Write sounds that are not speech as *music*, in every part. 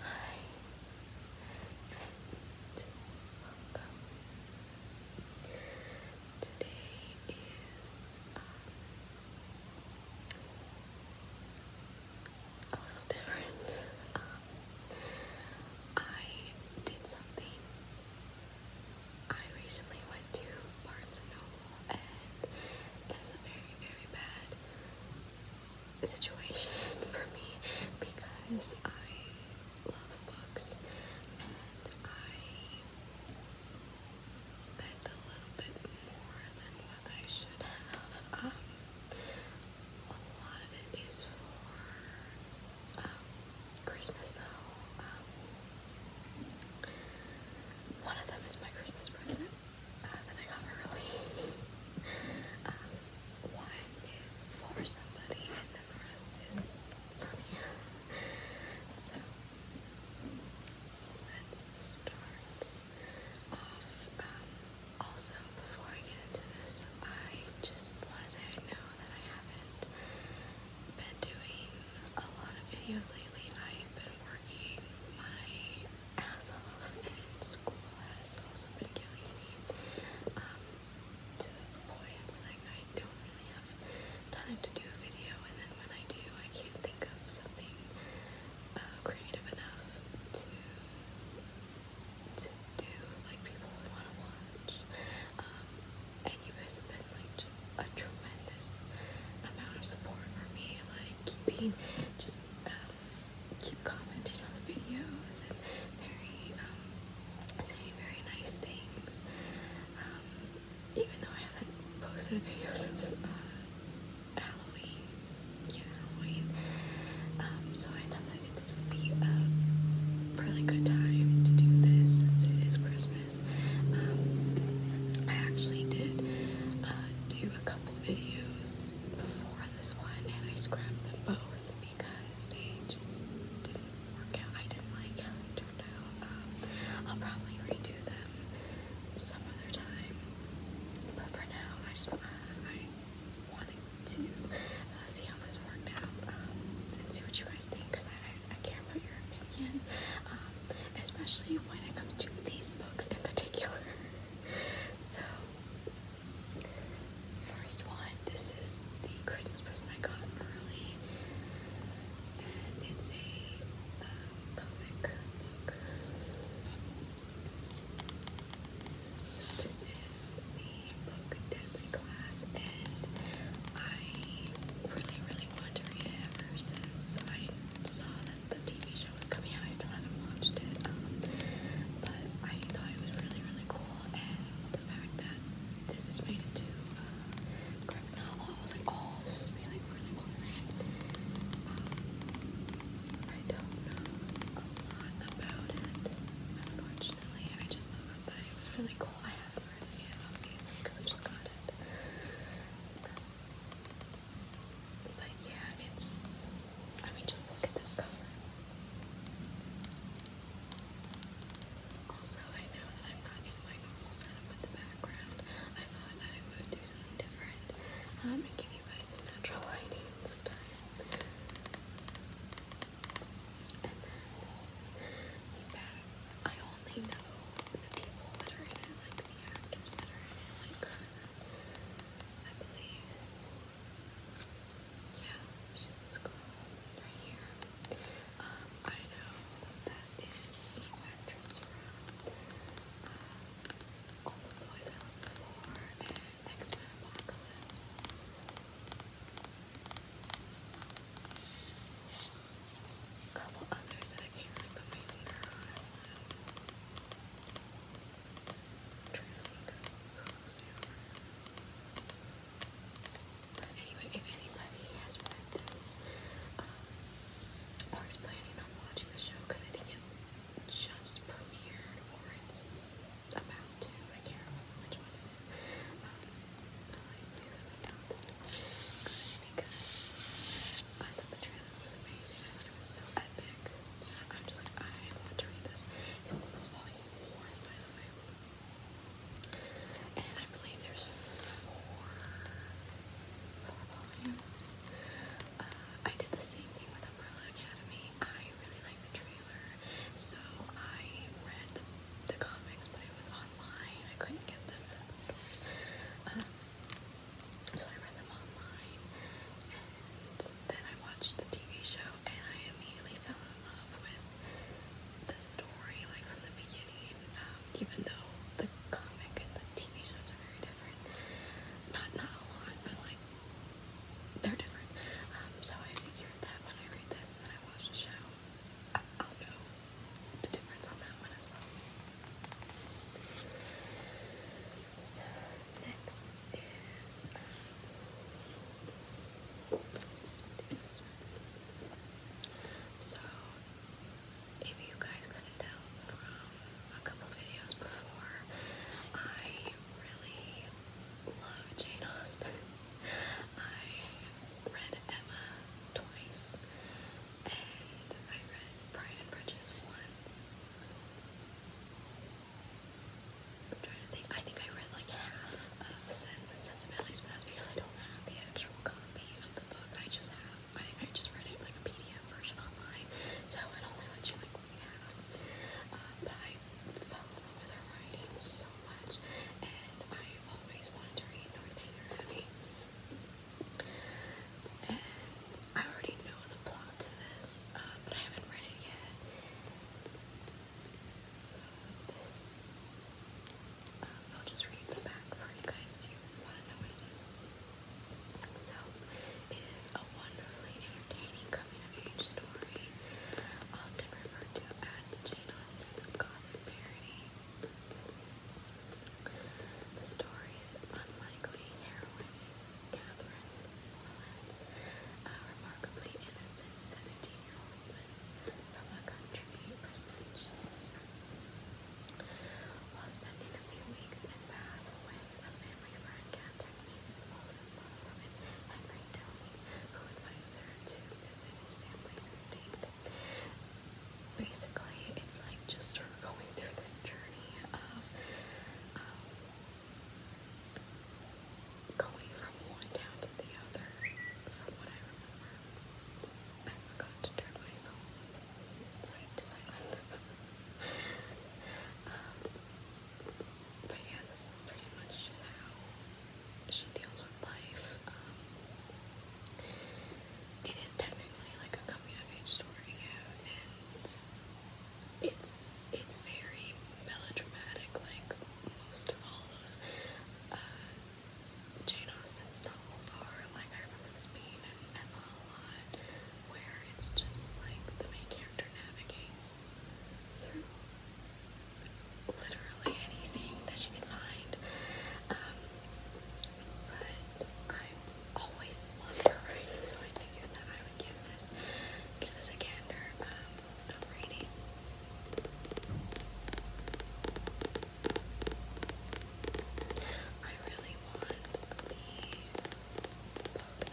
Hi, and welcome. Today is a little different. Um, I did something. I recently went to Barnes and Noble, and that's very, very bad situation for me because I love books and I spent a little bit more than what I should have. Um, a lot of it is for um, Christmas though. Um, one of them is my Christmas present uh, I got early. *laughs* Um, one is for somebody, and then the rest is for me. so let's start off. Um, also, before I get into this, I just want to say I know that I haven't been doing a lot of videos lately. I've been working working my ass off and school has also been killing me. Um, to the point like I don't really have time to do a video and then when I do I can't think of something uh, creative enough to to do like people would want to watch. Um, and you guys have been like just a tremendous amount of support for me, like keeping just um, keep commenting on the videos and very um, saying very nice things. Um, even though I haven't posted a video since uh, Halloween, yeah, Halloween. Um, so I thought that this would be a really good time to do this since it is Christmas. I actually did uh, do a couple videos before this one, and I scrapped them both because they just didn't work out. I didn't like how they turned out. Um, I'll probably redo them some other time, but for now, I just uh, I wanted to uh, see how this worked out um, and see what you guys think because I, I, care about your opinions, um, especially when it comes to these books in particular. *laughs* so, first one, this is the Christmas present I got early, and it's a uh, comic book. So this is the book Deadly Class, and I really, really wanted to read it ever since I saw that the TV show was coming out. I still haven't watched it, um, but I thought it was really, really cool. And the fact that this is made into a uh, graphic novel, I was like, oh, this is be like really cool. Um, I don't know a lot about it, unfortunately. I just thought that it was really cool. I haven't read it yet, obviously, because I just got it. Um, but yeah, it's. I mean, just look at this cover. Also, I know that I'm not in my normal setup with the background. I thought I would do something different um, and give you guys some natural *laughs* lighting this time. And this is the back. I only know the people that are in it, like the actors that are in it, like. I believe. Yeah, she's this girl right here. I know that is the actress from uh, All Boys I Loved Before and x Apocalypse. A couple others that I can't put my finger on. I'm trying to think anyway, if anybody has read this um, or planning on watching the show, because I think it just premiered or it's about to, I can't remember which one so epic I'm just like, I want to read this. So this is volume four, And I believe there's four, four volumes. Uh, I did the same thing with Umbrella Academy. I really liked the trailer, so I read the, comics, but it was online. I couldn't get them at the stores. Um, so I read them online and then I watched the TV show and I immediately fell in love with the story, like from the beginning, um, even though the comic and the TV shows are very different. Not, not a lot, but like, they're different. Um, so I figured that when I read this and then I watch the show, I'll know the difference on that one as well. So next is So if you guys couldn't tell from a couple videos before, I really love Jane Austen. I read Emma twice, and I read Pride and Prejudice once. I'm trying to think. I think I read like half of Sense and Sensibilities, but that's because I don't have the actual copy of the book. I just have I, I just read it like a PDF version online, so it only lets you like read half. Um, but I fell in love writing so much, and I always wanted to read Northanger Abbey. I already know the plot to this, uh, but I haven't read it yet. So this, um, I'll just read the back for you guys if you want to know what it is. So it is a wonderfully entertaining coming-of-age story, often referred to as Jane Austen's Gothic parody. The story's unlikely heroine Catherine a remarkably innocent 17-year-old woman from a country percentage. While spending a few weeks in Bath with a family friend, Catherine meets and falls in love with Henry Downey, who invites her to visit his family's estate. Basically, it's like just her going through this journey of um, going from one town to the other, from what I remember. I forgot to turn my phone side to silent. *laughs* Um, but yeah, this is pretty much just how she deals with life. Um, it is technically like a coming of age story, it's it's very melodramatic, like most of all of uh, Jane Austen's novels are. Like I remember this being in Emma a lot, where it's just like the main character navigates through literally anything that she can find. Um, but I always love her writing, so I figured that I would give this give this a gander um, I really want the book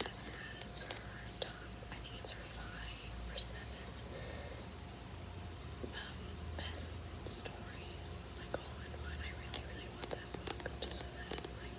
that has her I think it's her five or seven um, best stories, like all in one. I really, really want that book just so that, like,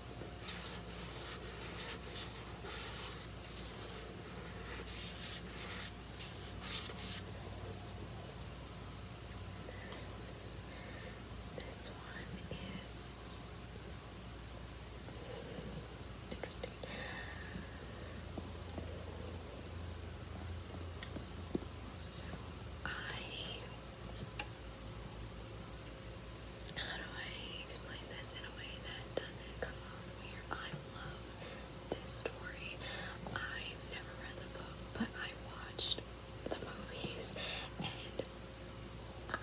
This one is interesting. So I how do I explain this in a way that doesn't come off weird? I love this story. I've never read the book, but I watched the movies and I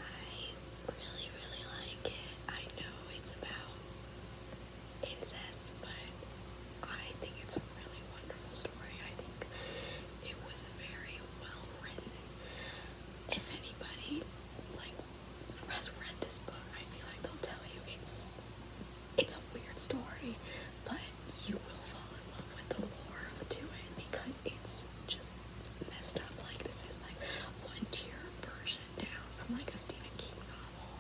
really, really like it. I know it's about incest, but I think it's a really wonderful story. I think it was very well written. If anybody like has read this book, I feel like they'll tell you it's it's a weird story, but you will fall in love with the lore to it because it's just messed up. Like this is like one tier version down from like a Stephen King novel.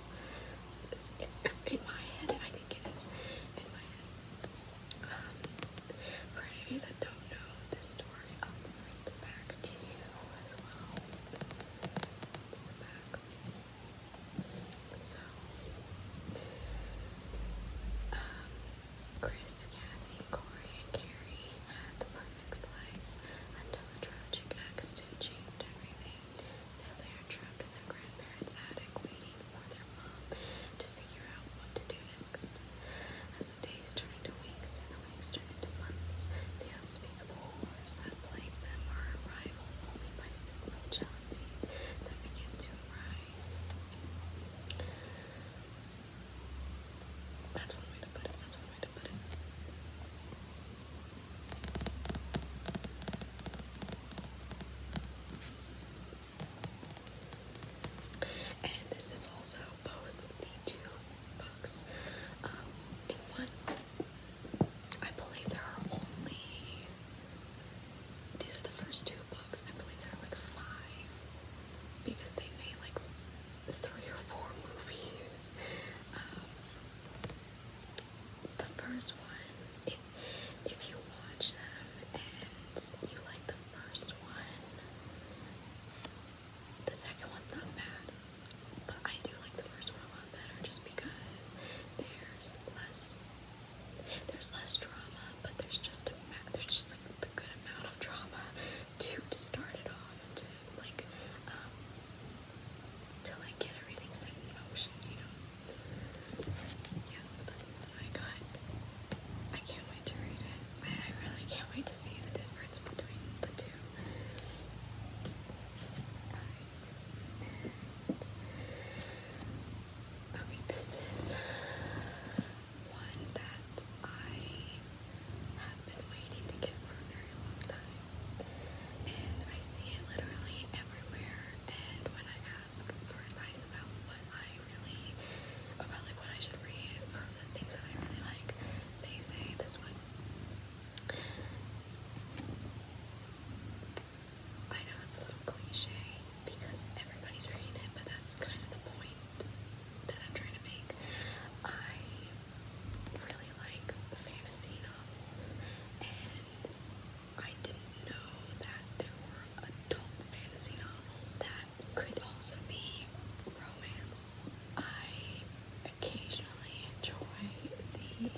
In, my head, I think it is. In my head. Um, for any of you that don't know this story, um, like you um, Chris, Kathy, Corey, and Carrie had the perfect lives until a tragic accident changed everything. Now they are trapped in their grandparents' attic waiting for their mom to figure out what to do as the days turn into weeks and the weeks turn into months, the unspeakable that plague them are rivaled only by sinful jealousies that begin to arise. That's one way to put it. That's one way to put it. And this is also both the two books um, in one. I believe there are only. These are the first two books. I believe there are like five because they made like three or four movies. Um, the first one, if, if you watch them and you like the first one, the second one's not bad, but I do like the first one a lot better just because there's less there's less drama, but there's just a there's just like the good amount of drama to, start it off and to like um to like get everything set in motion, you know. Yeah, so that's what I got. I can't wait to read it. I really can't wait to see the difference between the two. Right. Okay, this is one that I have been waiting to get for a very long time. And I see it literally everywhere. And when I ask for advice about what I really, about like what I should read for the things that I really like, they say this one. I know it's a little cliche because everybody's reading it, but that's kind of the point that I'm trying to make. I really like fantasy novels, and I didn't know that there were adult fantasy novels that could also be romance. I occasionally enjoy the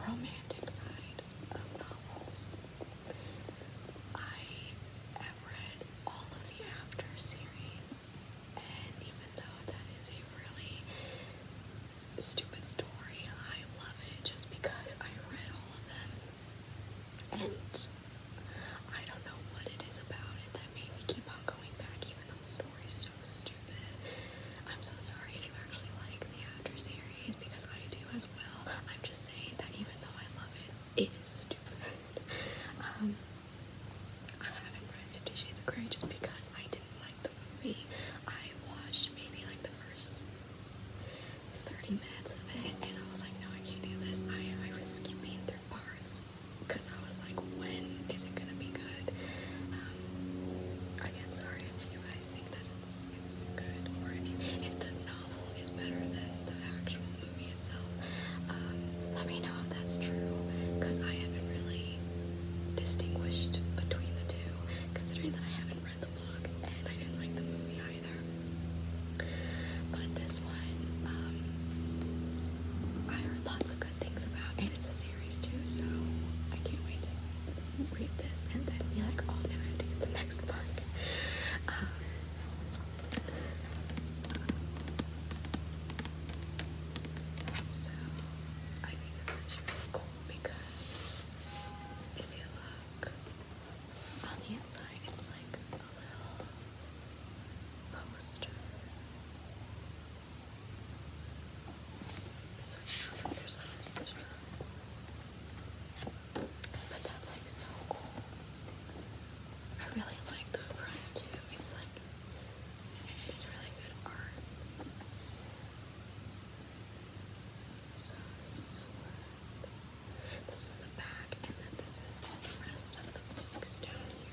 romantic side of novels. I have read all of the After series, and even though that is a really stupid story, I love it just because I read all of them. And I don't know what it is about it that made me keep on going back, even though the story is so stupid. I'm so sorry if you actually like the After series because I do as well. I'm just saying that even though I love it, it is stupid. um, I haven't read Fifty Shades of Grey just because I didn't like the movie. I watched maybe like the first 30 minutes of it and I was like, no, I can't do this. I, I was skipping through parts because I was like, when is it gonna be good? Um, again, sorry if you guys think that it's it's good, or if if the novel is better than the actual movie itself. Um, let me know if that's true, because I haven't really distinguished between the two, considering that I haven't read the book and I didn't like the movie either. But this one, um, I heard lots of good things about, and it's a series too, so I can't wait to read this and then be like, oh, now I have to get the next book. Um, so, I think it's actually really cool because if you look on the inside, it's like poster. there's others, there's But that's like so cool. I really like the front too. It's like, it's really good art. So this is the back, and then this is all the rest of the books down here.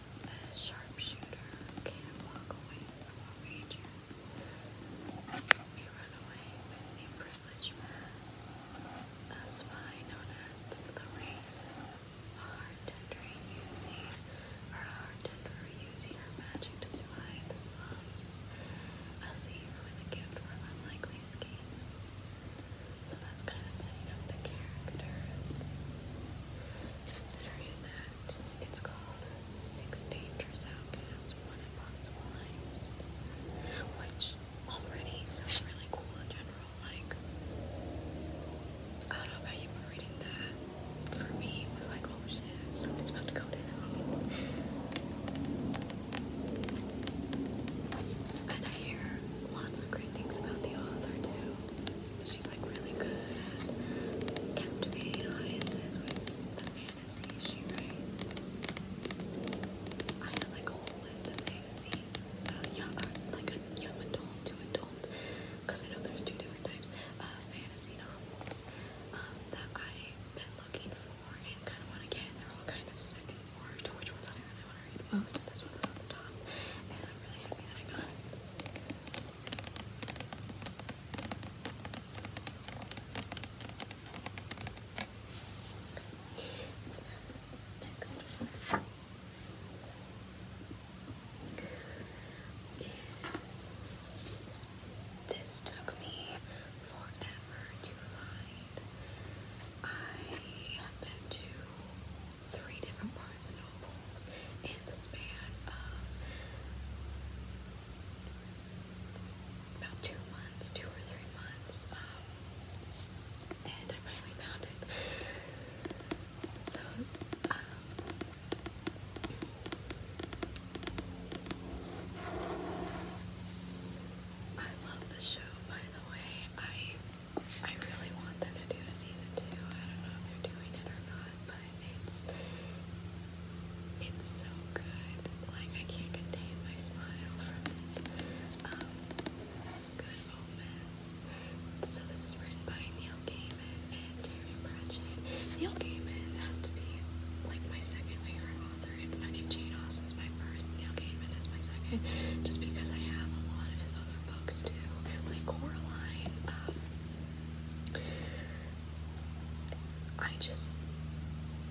The sharpshooter can't walk away from a ranger. We run away with the privileged mass. A spy known as the, Wraith. A hard using, or a using her magic to survive the slums. A thief with a gift for unlikely escapes. So that's kind of setting up the characters. Considering that it's called Six Dangers Outcasts, One Impossible Lives, which already sounds really cool in general. Like, I don't know about you, but reading that for me was like, oh shit, something's about to go down. And I hear lots of great things about the author too she's like really good at captivating audiences with the fantasies she writes. I have like a whole list of fantasy, uh, uh, like a young adult to adult, because I know there's two different types of fantasy novels um, that I've been looking for and kind of want to get, and they're all kind of set in which ones I really want to read the most. this one was on top, and I'm really happy that I got it. So, next this took me forever to find. I have to three different parts and Nobles in the span of about two months, two or three months, um, and I finally found it. So, um, I love the show, by the way. I I really want them to do a season two. I don't know if they're doing it or not it's it's so good. Like I can't contain my smile from it. Um, good Omens. So this is written by Neil Gaiman and Terry Pratchett. Neil Gaiman has to be like my second favorite author, and, think Jane Austen's my first. Neil Gaiman is my second, just because I have a lot of his other books too, like Coraline. Um, I just,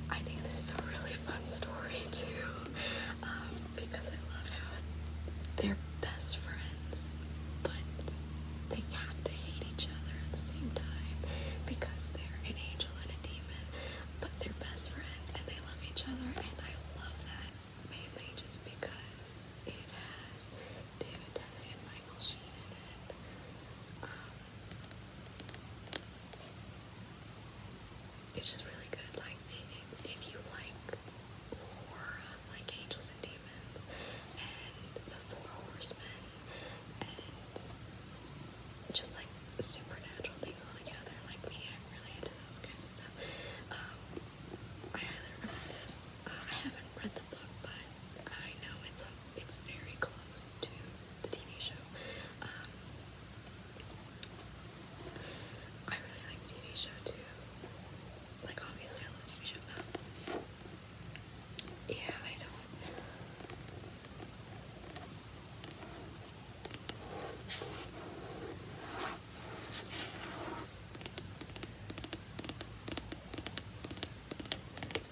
I think this is a really fun story too, um, because I love how they're best friends, but they have to hate each other at the same time because they're an angel and a demon, but they're best friends and they love each other, and I love that mainly just because it has um, it's just really good. Like, if, if you like horror, like Angels and Demons, and The Four Horsemen, and just like supernatural things all together, like me, I'm really into those kinds of stuff. Um, I highly recommend this. I haven't read the book, but I know it's it's very close to the TV show. I really like TV show too. Like obviously, I love TV show. yeah, I don't.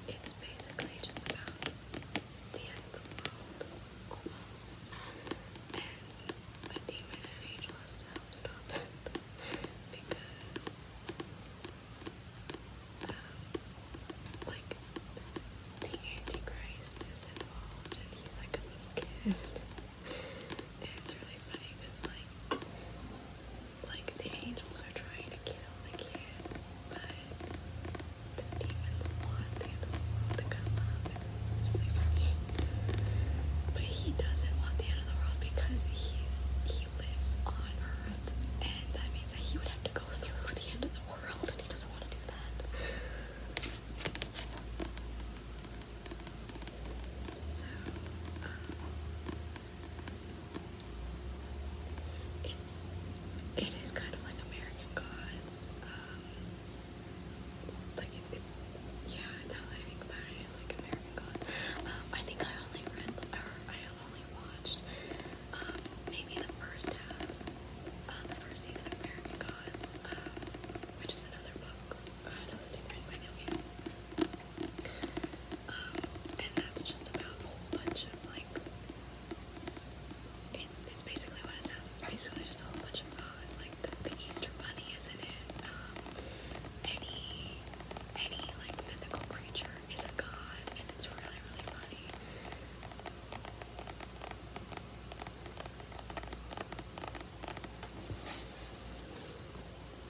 It's basically just about the end of the world, And my demon angel has to help stop it because, um, like, the Antichrist is involved and he's like a mean kid. *laughs* it's really funny because, like, like the angels are trying to kill the kid, but the demons want the end of the world to come But he doesn't want the end of the world because he's he lives on Earth, and that means that he would have to go through the end of the world, and he doesn't want to do that. Um, it's it is kind of like American Gods. Um, like it's yeah. Now that I think about it, it's like American Gods. Um, I think I only read or I only watched um, maybe the first half, uh, the first season of American Gods, which is another book, another thing written by Neil Gaiman. Um, and that's just about a whole bunch of like it's it's basically what it sounds. It's basically just a whole bunch of oh, it's like the, the Easter Bunny, isn't it? Um, any any like mythical creature is a god, and it's really really funny.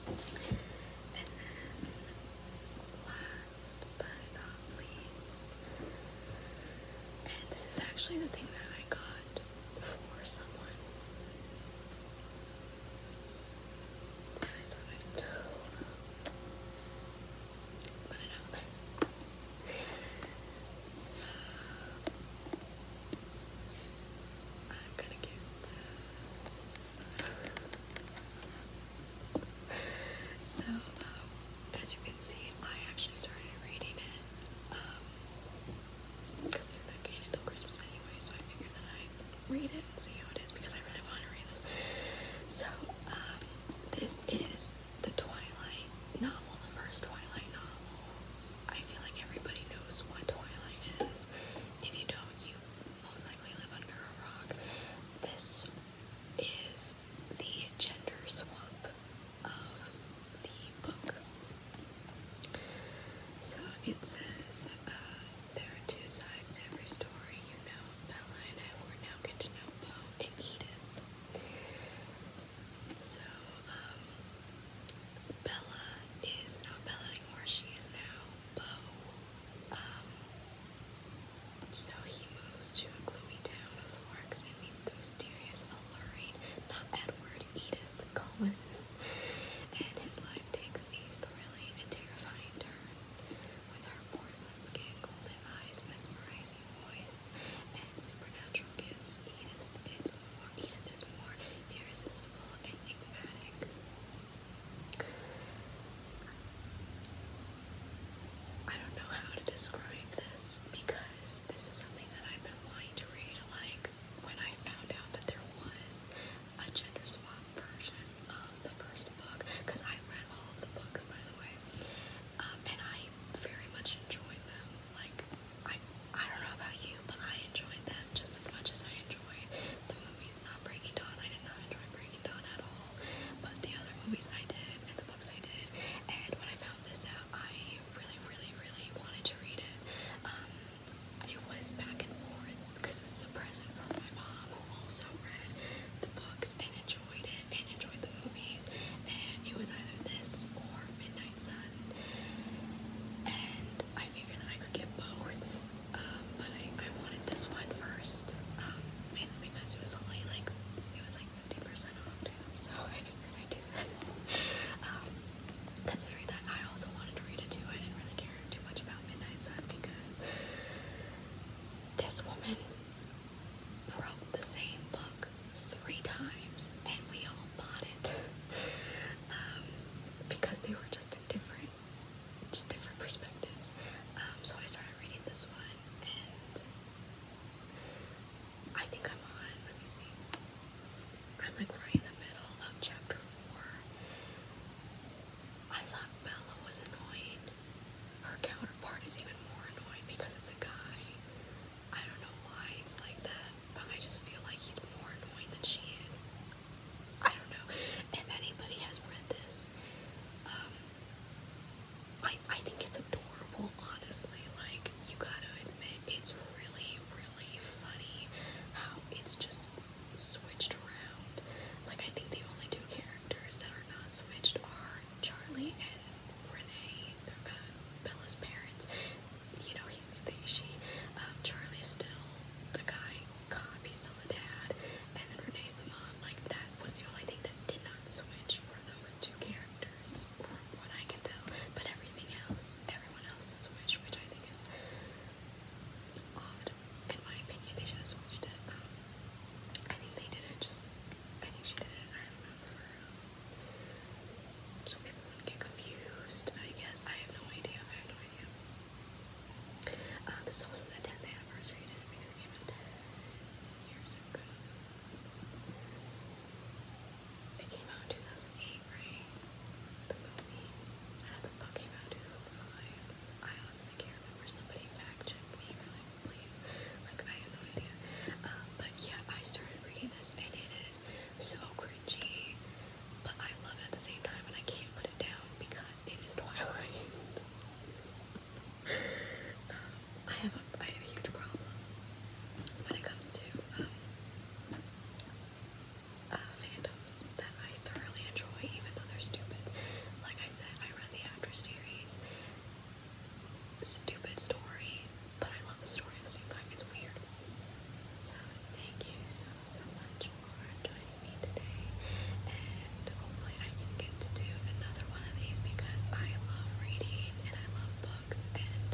And then, last but not least, and this is actually the thing that I got for someone. And I thought i still put it out there. Uh, I'm gonna get uh, so, um, as you can see, I actually started reading it, because um, they're not getting it till Christmas anyway, so I figured that i read it and see how it is, because I really want to read this. So, um, this is the Twilight novel, the first Twilight novel. I feel like everybody knows what Twilight is. If you don't, you most likely live under a rock. This is the gender swap of the book. So it says uh, there are two sides to every story. You know, Bella and I will now get to know Bo and Edith. So, um, Bella is not Bella anymore. She is now um, so he moves to a gloomy town of forks and meets the mysterious, alluring, not Edward, Edith Cullen. And his life takes a thrilling and terrifying turn with her porcelain skin, golden eyes, mesmerizing voice, and supernatural gifts. Edith is more, irresistible enigmatic. I don't know how to describe this because this is something that I've been wanting to read. Like when I found out that there was a gender swap version of the first book, because I read all of the books by the way, um, and I very much enjoyed them. Like I, I don't know about you, but I enjoyed them just as much as I enjoy the movies, not Breaking Dawn. I did not enjoy Breaking Dawn at all, but the other movies I did and the books I did. And when I found this out, I really, really, really wanted to read it. Um, it was back and forth because it's a present from my mom, who also read the books and enjoyed it and enjoyed the movies. And it was either this or Midnight Sun. And I figured that I could get both, um, but I, wanted this one first, um, mainly because it was only like, it was like 50% off too, so I figured I'd do this. *laughs* Um, considering that I also wanted to read it too, I didn't really care too much about Midnight Sun because this woman wrote the same book three times and we all bought it *laughs* because they were just different just different perspectives. Um, so I started reading this one, and I think I'm on, let me see, I'm like right in the middle of chapter 4. I thought Bella was annoying. Her counterpart is even more annoying because it's a guy. I don't know why it's like that, but I just feel like he's more annoying than she is. I don't know if anybody has read this. Um, I I think it's adorable, honestly. Like you gotta admit, it's really really funny how it's just switched around. Like I think the only two characters that are not switched are Charlie and Renee, Bella's parents. You know, he's they, she. Um, Charlie's still the guy copies of the dad, and then Renee's the mom. Like, that was the only thing that did not switch were those two characters, from what I can tell. But everything else, everyone else is switched, which I think is odd. In my opinion, they should have switched it. Um, I think they did it just, I think she did it, I don't know, for, um, so people wouldn't get confused, I guess. I have no idea, I have no idea. Uh, this is also the 10th anniversary of it because it 10 It came out in 2008, The movie. the book came out in 2005. I honestly can't remember. Somebody fact check please. Like, I have no idea. Um, but yeah, I started reading this and it is so cringy, but I love it at the same time and I can't put it down because it is twilight. Um, I have a I have a huge problem when it comes to um, uh, fandoms that I thoroughly enjoy, even though they're stupid. Like I said, I read the After series. Stupid story, but I love the story at the same time. It's weird. So thank you so, much for joining me today. And hopefully, I can get to do another one of these because I love reading and I love books. And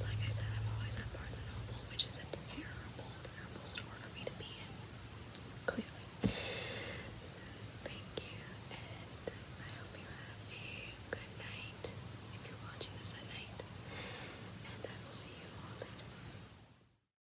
like I said, I'm always at Barnes and Noble, which is a terrible, terrible store for me to be in. Clearly. So, thank you, and I hope you have a good night if you're watching this at night. And I will see you all later.